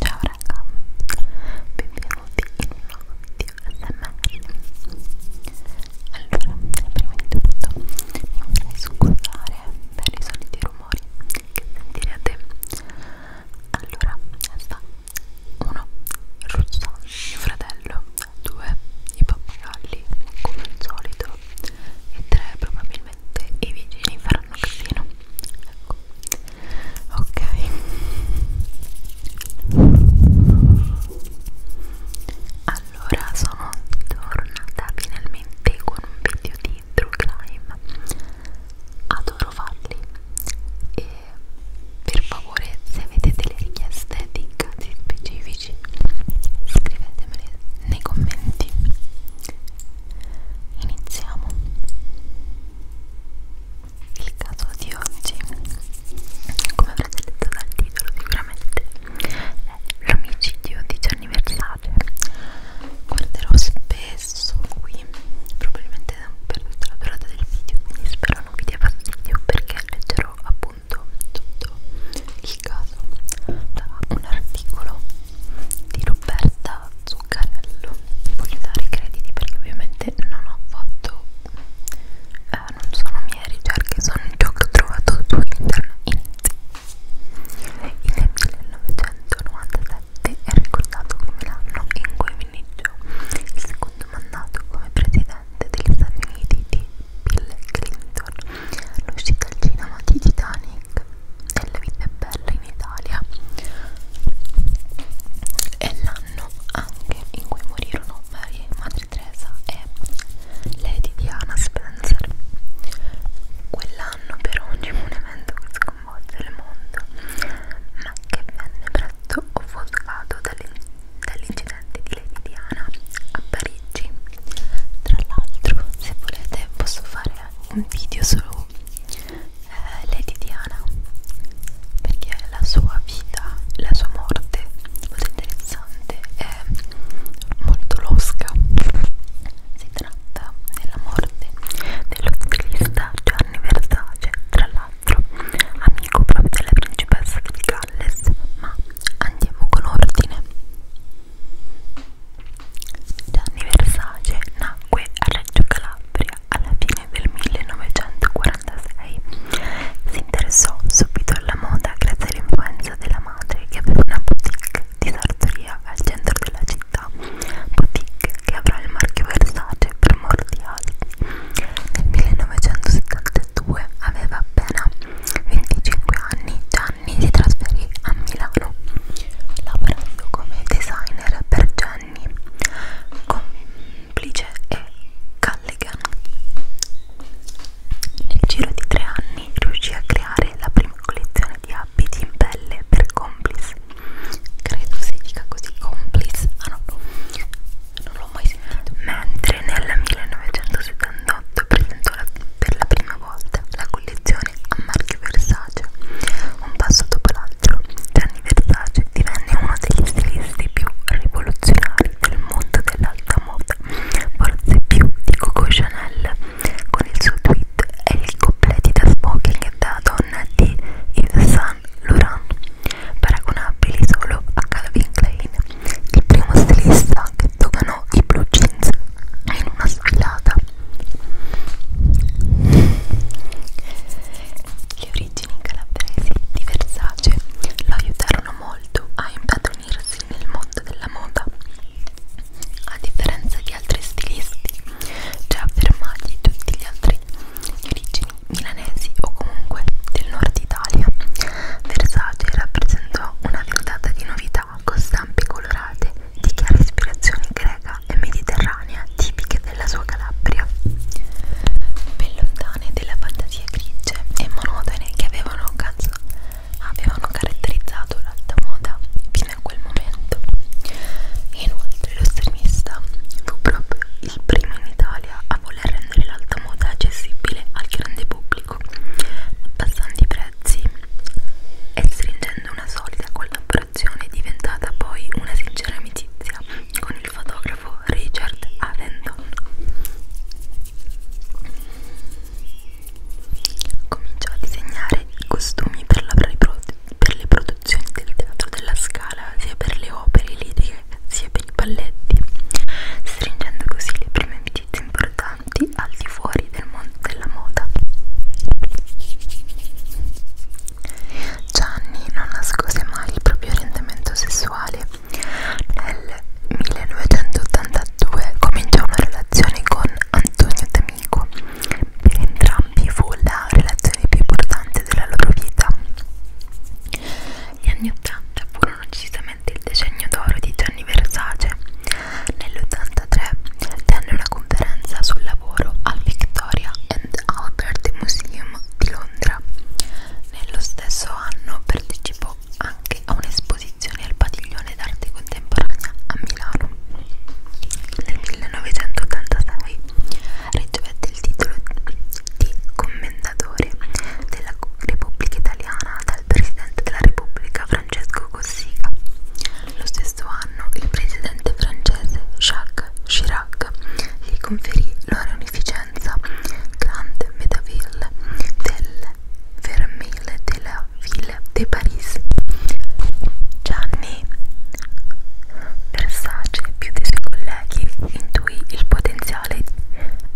Ciao raga, benvenuti in un nuovo video ASMR Allora, prima di tutto mi vorrei scusare per i soliti rumori che sentirete Allora, sta 1. Il russo, mio fratello 2. I pappagalli, come al solito e 3. Probabilmente sette e i vicini faranno casino ecco. ok allora sono tornata finalmente con un video di True Crime adoro farli e per favore se avete delle richieste di casi specifici scrivetemele nei commenti iniziamo il caso di oggi come avrete detto dal titolo sicuramente è l'omicidio di Gianni Versace guarderò spesso qui probabilmente per tutta la durata del video quindi spero non vi dia fastidio perché leggerò appunto tutto il caso da un articolo di Roberta Zuccarello voglio dare i crediti perché ovviamente non ho fatto eh, non sono mie ricerche sono ciò che ho trovato su internet il 1997 è ricordato come l'anno in cui iniziò il secondo mandato come presidente degli Stati Uniti di Bill Clinton l'uscita al cinema di Titanic Nick delle vite belle in Italia è l'anno anche in cui morirono Maria, Madre Teresa e Lady Diana Spencer quell'anno però oggi un evento che sconvolge il mondo ma che venne presto offuscato dall'incidente dall di Lady Diana a Parigi tra l'altro se volete posso fare un video solo eh, Lady Diana perché la sua vita, la sua morte molto interessante è molto losca si tratta della morte dello stilista Gianni Versace tra l'altro amico proprio della principessa di Galles ma andiamo con ordine Gianni Versace nacque a Reggio Calabria alla fine del 1946. Si interessò subito alla moda grazie all'influenza della madre che aveva una boutique di sartoria al centro della città, boutique che avrà il marchio Versace per molti anni. Nel 1972 aveva appena 25 anni, Gianni anni si trasferì a Milano lavorando come designer per Gianni, complice e Callaghan. Nel giro di tre anni riuscì a creare la prima collezione di abiti in pelle per complice. Credo si dica così complice, ah no, non l'ho mai sentito. Mentre nel 1978 presentò la, per la prima una volta la collezione a marchio Versace. Un passo dopo l'altro, Gianni Versace divenne uno degli stilisti più rivoluzionari del mondo dell'alta moda, forse più di Coco Chanel, con il suo tweet e il completi da smoking da donna di Yves Saint Laurent, paragonabili solo a Calvin Klein. Il primo stilista che donò i blue jeans in una sfilata le origini calabresi di Versace lo aiutarono molto a impadronirsi nel mondo della moda a differenza di altri stilisti già affermati tutti gli altri di origini milanesi o comunque del nord Italia Versace rappresentò una ventata di novità città con stampe colorate di chiara ispirazione greca e mediterranea tipiche della sua Calabria. Ben lontane della fantasia grigie e monotone che avevano, avevano caratterizzato l'alta moda fino a quel momento. Inoltre lo stilista fu proprio il primo in Italia a voler rendere l'alta moda accessibile al grande pubblico, abbassando i prezzi e stringendo Stringendo una solida collaborazione è diventata poi una sincera amicizia con il fotografo Richard Avedon. Cominciò a disegnare costumi per, la, per le produzioni del teatro della Scala, sia per le opere liriche sia per i balletti, stringendo così le prime amicizie importanti importanti al di fuori del mondo della moda. Gianni non nascose mai il proprio orientamento sessuale. Nel 1982 cominciò una relazione con Antonio D'Amico. Per entrambi fu la relazione più importante della loro vita. Gli anni 80 furono decisamente il decennio d'oro di Gianni Versace. Nell'83 tenne una conferenza sul lavoro al Victoria and Albert Museum di Londra. Nello stesso anno partecipò anche a un'esposizione al Padiglione d'arte contemporanea a Milano. Nel 1986 ricevette il titolo di Commendatore della Repubblica Italiana dal Presidente della Repubblica Francesco Cossiga. Lo stesso anno il presidente francese Jacques Chirac gli conferì la reunificenza Grande Médaville del Vermile della Ville de Paris. Gianni Versace, più dei suoi colleghi, intuì il potenziale di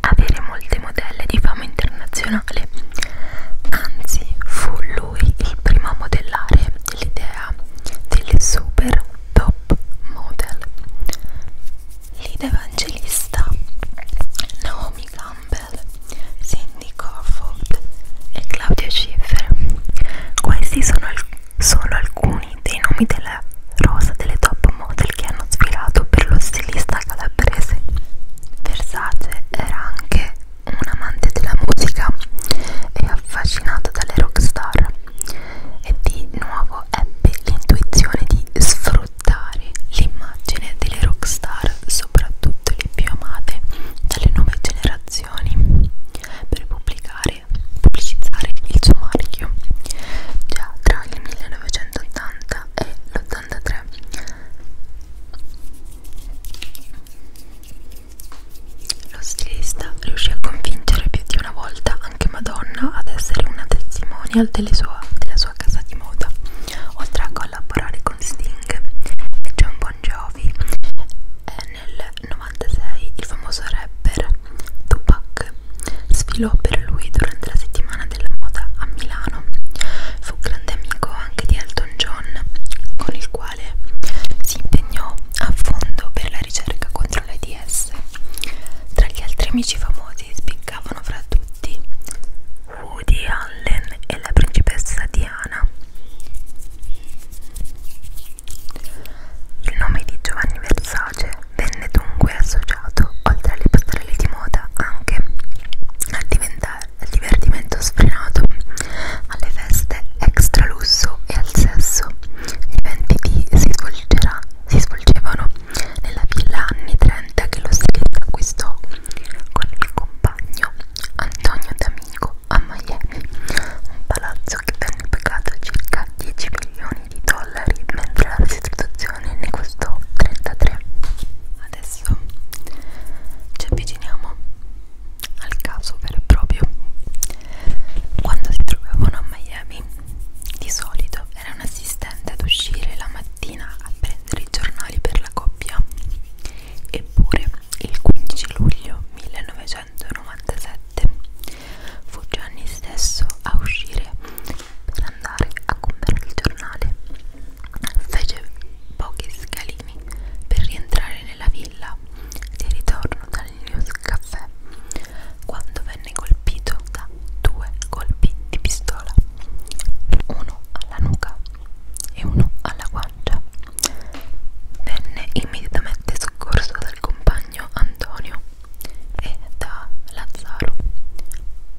avere molte modelle di fama internazionale. Anzi, fu lui il primo a modellare l'idea delle super top model. Lead evangelista Naomi Campbell, Cindy Crawford e Claudia Schiffer. Questi sono alc solo alcuni dei nomi della rosa delle top model che hanno sfilato per lo stilista calabrese. Versace era anche un amante della musica e affascinato dalle rockstar e di nuovo ebbe l'intuizione di sfruttare l'immagine delle rockstar, soprattutto le più amate dalle nuove generazioni, per pubblicare, pubblicizzare il suo marchio. Già tra il 1980 e l'83 lo stilista riuscì a convincere più di una volta anche Madonna ad essere una testimonial delle sua, della sua casa di moda, oltre a collaborare con Sting e John Bon Jovi. E nel 96 il famoso rapper Tupac sfilò per lui durante la settimana settimana della moda a Milano. Fu grande amico anche di Elton John, con il quale si impegnò a fondo per la ricerca contro l'AIDS. Tra gli altri amici famosi spiccavano fra tutti Woody Allen e la principessa Diana. Il nome di Giovanni Versace venne dunque associato, oltre alle passerelle di moda, anche a diventare al divertimento sfrenato, alle feste extra lusso e al sesso. Gli eventi si, svolgerà, si svolgevano nella villa anni 30 che lo Steak acquistò con il compagno Antonio D'Amico a Miami, un palazzo che venne pagato circa 10 milioni di dollari, mentre la restituzione ne costò 33 adesso ci avviciniamo al caso vero e proprio quando si trovavano a Miami di solito era un assistente ad uscire la mattina a prendere i giornali per la coppia eppure il 15 luglio 1997 fu Gianni stesso a uscire per andare a comprare il giornale fece pochi scalini per rientrare nella villa di ritorno dal News Café quando venne colpito da due colpi di pistola, uno alla nuca e uno alla guancia. Venne immediatamente soccorso dal compagno Antonio e da Lazzaro,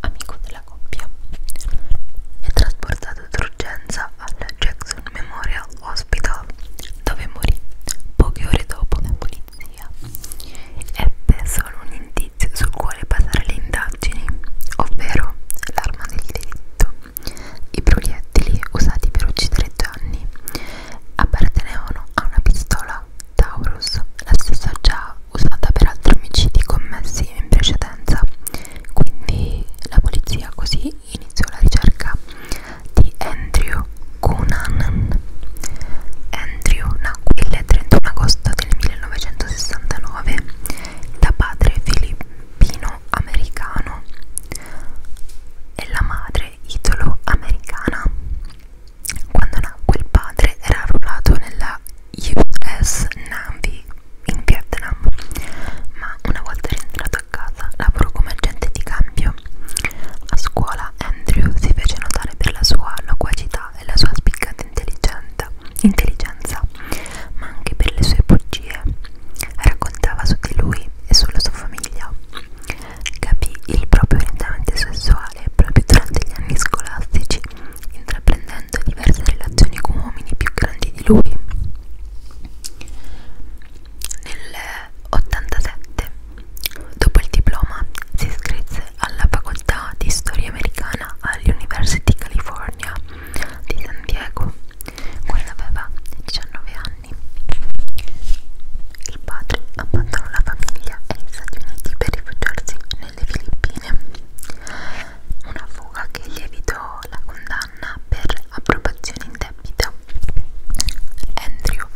amico della della coppia. È trasportato d'urgenza al Jackson Memorial Hospital, dove morì poche ore dopo la polizia. Ebbe solo un indizio sul quale basare le indagini, ovvero l'arma del delitto, i proiettili usati per uccidere Gianni appartenevano a una pistola Taurus, la stessa già usata per altri omicidi commessi in precedenza quindi la polizia così iniziò la ricerca di Andrew Cunanan Andrew nacque il 31 agosto del 1969 da padre filippino-americano e la madre italo-americana quando nacque il padre era arruolato nella US Navy in Vietnam, ma una volta rientrato a casa lavorò come agente di cambio. A scuola Andrew si fece notare per la sua loquacità e la sua spiccata intelligenza, ma anche per le sue bugie. Raccontava su di lui e sulla sua famiglia. Capì il proprio orientamento sessuale proprio durante gli anni scolastici intraprendendo diverse relazioni con uomini più grandi di lui. Nel 87, dopo il diploma, si iscrisse alla facoltà di storia americana all'University California di San Diego, quando aveva 19 anni. Il padre abbandonò la famiglia e gli Stati Uniti per rifugiarsi nelle Filippine, una fuga che gli evitò la condanna per appropriazione indebita. Andrew,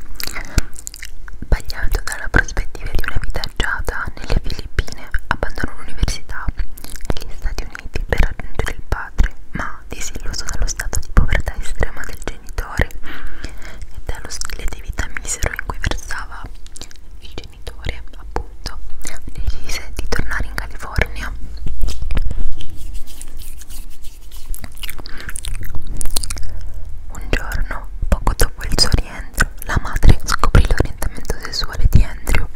bagliato dalla prospettiva di una vita agiata nelle Filippine, abbandonò l'università negli Stati Uniti per raggiungere il padre, ma disilluso dallo stato di povertà estrema del genitore e dallo stile di vita misero in cui versava, il genitore appunto decise di tornare in California un giorno poco dopo il suo rientro la madre scoprì l'orientamento sessuale di Andrew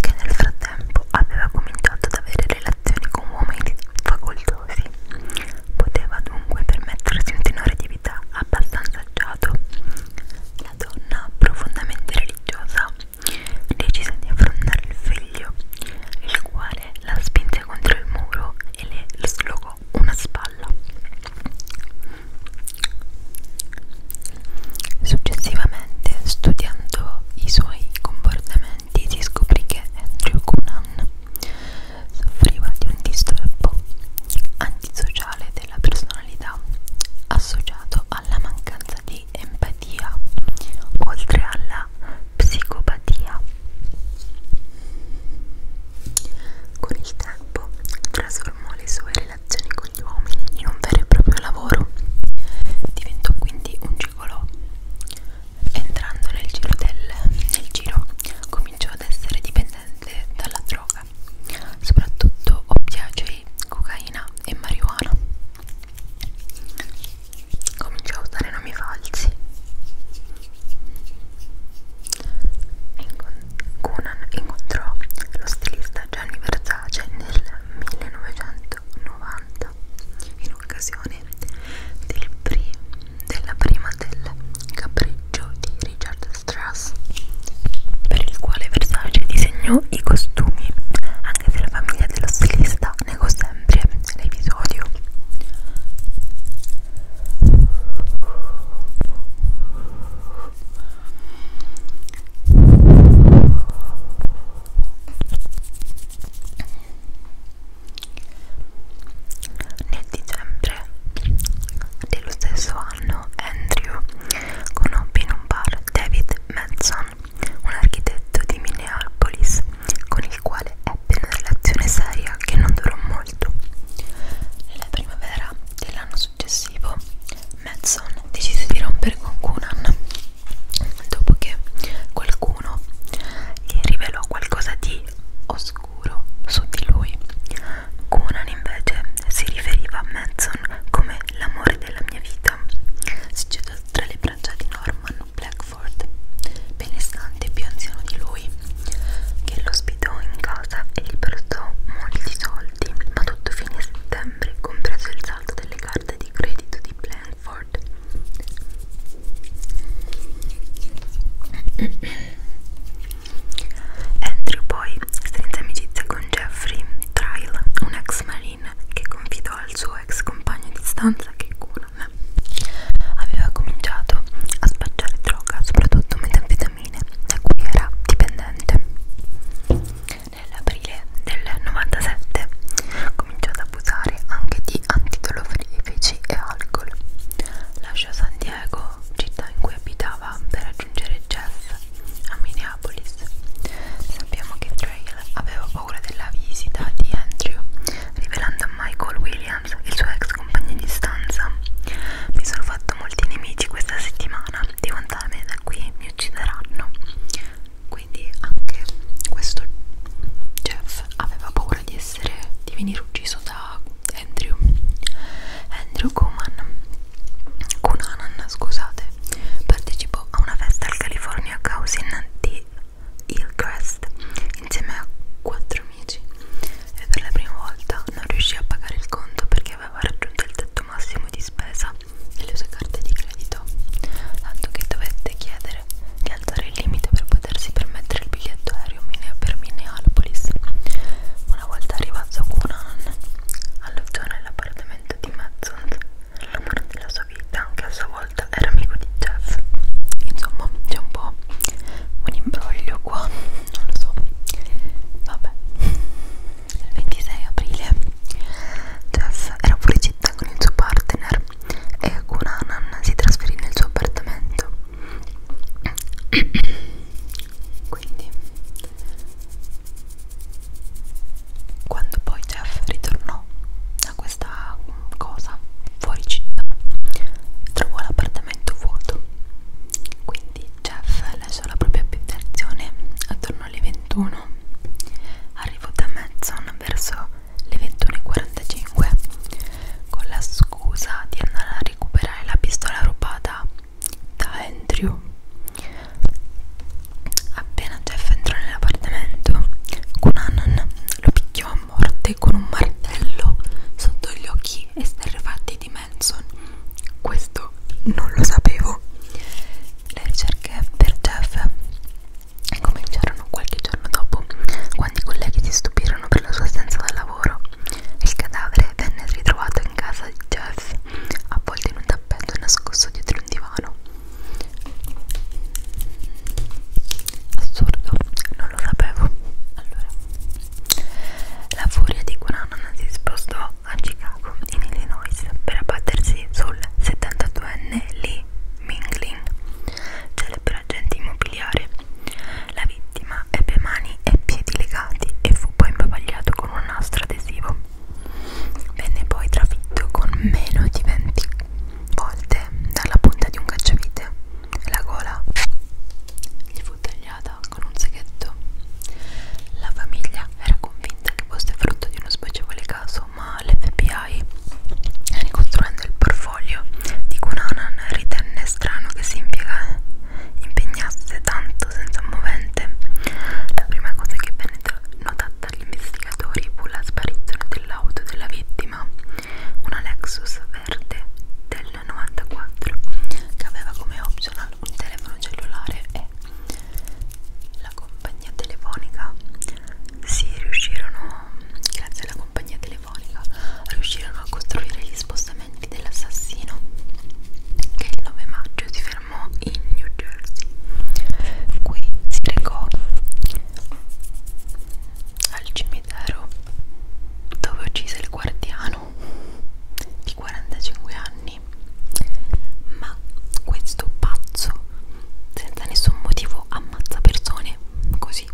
che nel frattempo aveva cominciato ad avere relazioni con uomini facoltosi poteva dunque permettersi un tenore di vita abbastanza agiato la donna profondamente religiosa decise di affrontare il figlio, il quale la spinse contro il muro e le slogò una spalla. Successivamente, studiando i suoi comportamenti, si scoprì che Andrew Cunan soffriva di un disturbo antisociale della personalità associato alla mancanza di empatia oltre alla psicopatia. Con il tempo trasformò le sue relazioni con gli uomini in un vero e proprio lavoro. Diventò quindi un gigolò. Entrando nel giro del nel giro cominciò ad essere dipendente dalla droga droga, soprattutto oppiacei, cocaina e marijuana. Cominciò a usare nomi falsi. Cunan incontrò lo stilista Gianni Versace nel 1990 in occasione del pri della prima tema del capriccio di Richard Strauss per il quale Versace disegnò i costumi anche se la famiglia dello stilista negò sempre l'episodio nel dicembre dello stesso anno Andrew conobbe in un bar David Manson, un architetto di Minneapolis, con il quale ebbe una relazione seria che non durò molto. Nella primavera dell'anno successivo, Manson decise di rompere con Cunan dopo che qualcuno gli rivelò qualcosa di oscuro su di lui Conan invece si riferiva a Manson come l'amore della mia vita. Si cedò tra le braccia di Norman Blackford, benestante e più anziano di lui, che lo ospitò in casa e gli prestò molti soldi, ma tutto fine a settembre, compreso il saldo delle carte di credito di Blackford. Andrew poi strinse amicizia con Jeffrey Tryle, un ex marine che confidò al suo ex compagno di stanza che Conan aveva cominciato a spacciare droga, soprattutto metanfetamine, da cui era dipendente. Nell'aprile del 97 cominciò ad abusare anche di antidolorifici e alcol. Lasciò San Diego Diego, città in cui abitava, per raggiungere Jeff a Minneapolis. Sappiamo che Trail aveva paura della visita di Andrew, rivelando a Michael Williams, il suo ex compagno di stanza. Mi sono fatto molti nemici questa settimana, devo andarmene da qui, mi uccideranno. Quindi anche questo Jeff aveva paura di essere di venire ucciso da Andrew Andrew Kuman Kunanan scusate partecipò a una festa al California Cousin di Hillcrest insieme a quattro amici e per la prima volta non riuscì a pagare il conto perché aveva raggiunto il tetto massimo di spesa delle sue carte di credito tanto che dovette chiedere di alzare il limite per potersi permettere il biglietto seminario per Minneapolis. Una volta arrivato a Cunan, alloggiò nell'appartamento di Madson, l'amore della sua vita, che a sua volta era amico di Jeff. Insomma, c'è un po' un imbroglio qua, non lo so. Vabbè, il 26 aprile Jeff era fuori città con il suo partner e Cunanan si trasferì nel suo appartamento quindi quando poi Jeff ritornò da questa cosa fuori città trovò l'appartamento vuoto quindi Jeff lasciò la propria abitazione attorno alle 21 arrivò da Madison verso le 21.45 con la scusa di andare a recuperare la pistola rubata da Andrew. Appena Jeff entrò nell'appartamento, Cunanan lo picchiò a morte con un martello sotto gli occhi esterrefatti di Manson. Questo non lo sapevo. Le ricerche per Jeff cominciarono qualche giorno dopo, quando i colleghi si stupirono per la sua assenza dal lavoro lavoro. Il cadavere venne ritrovato in casa di Jeff, avvolto in un tappeto e nascosto dietro un divano. Assurdo, non lo sapevo. Allora, la furia di Guananana si spostò a Chicago, in Illinois, per abbattersi sul 72enne Lee Minglin, celebrato agente immobiliare. La vittima ebbe mani e piedi legati e fu poi imbavagliato con un nastro adesivo. Venne poi trafitto con meno di 20 volte dalla punta di un cacciavite. La gola gli fu tagliata con un seghetto. La famiglia era convinta che fosse frutto di uno spiacevole caso, ma l'FBI, ricostruendo il portfolio di Cunanan, ritenne strano che si impiega, eh, impegnasse tanto senza un movente. La prima cosa che venne notata dagli investigatori fu la sparizione dell'auto della vittima, una Lexus verde del 94 che aveva come optional un telefono cellulare e la compagnia telefonica si riuscirono grazie alla compagnia telefonica telefonica riuscirono a costruire gli spostamenti dell'assassino che il 9 maggio si fermò in New Jersey. Qui si recò al cimitero dove uccise il guardiano di 45 anni, ma questo pazzo senza nessun motivo ammazza persone così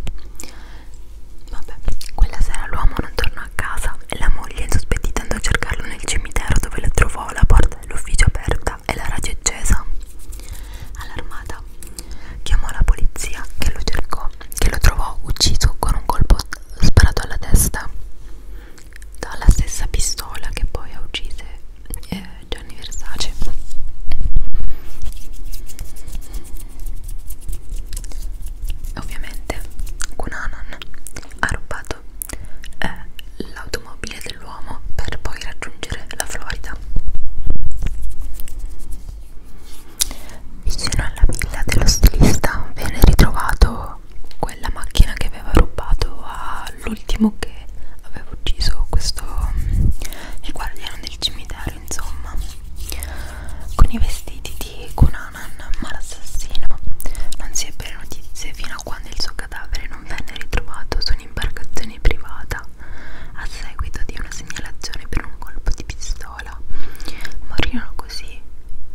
Vabbè, quella sera l'uomo non tornò a casa e la moglie, insospettita, andò a cercarlo nel cimitero dove la trovò la porta dell'ufficio aperta e la radio accesa. Allarmata, chiamò la polizia che lo cercò, che lo trovò ucciso con un colpo sparato alla testa dalla stessa pistola che poi ha uccise eh, Gianni Versace. Ovviamente Cunanan ha rubato eh, l'automobile dell'uomo per poi raggiungere la Florida. Vicino alla villa dello stilista venne ritrovato quella macchina che aveva rubato all'ultimo che aveva ucciso questo mm, il guardiano del cimitero insomma con i vestiti di Kunanan ma l'assassino non si ebbero notizie fino a quando il suo cadavere non venne ritrovato su un'imbarcazione privata a seguito di una segnalazione per un colpo di pistola morirono così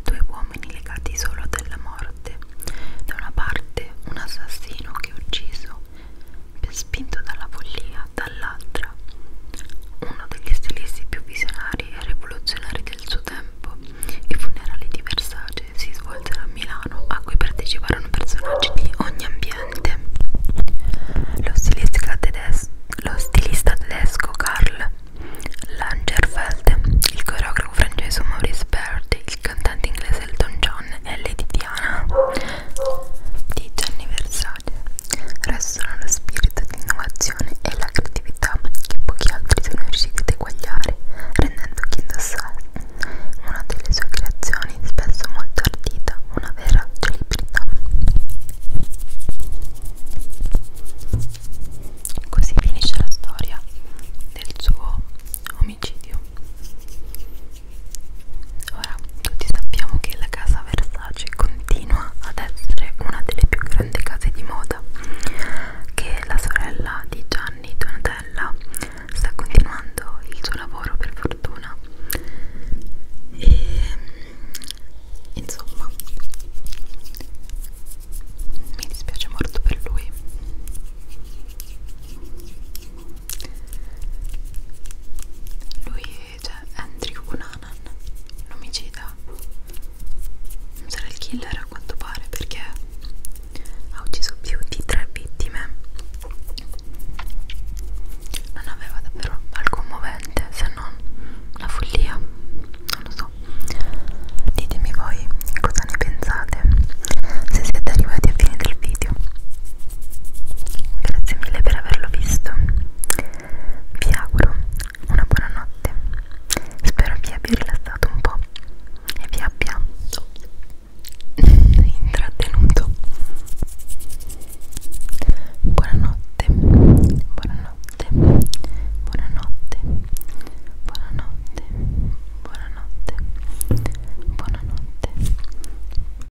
due uomini legati solo dalla morte da una parte un assassino che ucciso spinto dalla follia, dall'altra, uno degli stilisti più visionari e rivoluzionari del suo tempo. I funerali di Versace si svolsero a Milano, a cui parteciparono personaggi di ogni ambiente. Lo stilista, tedes lo stilista tedesco Karl Langerfeld, il coreografo francese Maurice Berti, il cantante inglese Elton John e Lady Diana 10 anniversario restano lo spirito di innovazione e la creatività che pochi altri sono riusciti ad eguagliare rendendo chi indossa una delle sue creazioni spesso molto ardita una vera celebrità così finisce la storia del suo omicidio Ora, tutti sappiamo che la casa Versace continua ad essere una delle più grandi case di moda che la sorella di Gianni Donatella sta continuando il suo lavoro per fortuna e insomma mi dispiace molto per lui lui cioè Andrew Cunanan un omicida non sarà il killer a quanto pare perché ha ucciso più di tre vittime non aveva davvero alcun movente se non la follia non lo so ditemi voi cosa ne pensate se siete arrivati a fine del video Grazie mille per averlo visto. Vi auguro una buona notte. Spero vi abbia rilassato un po' e vi abbia intrattenuto. Buonanotte, buonanotte, buonanotte, buonanotte, buonanotte, buonanotte.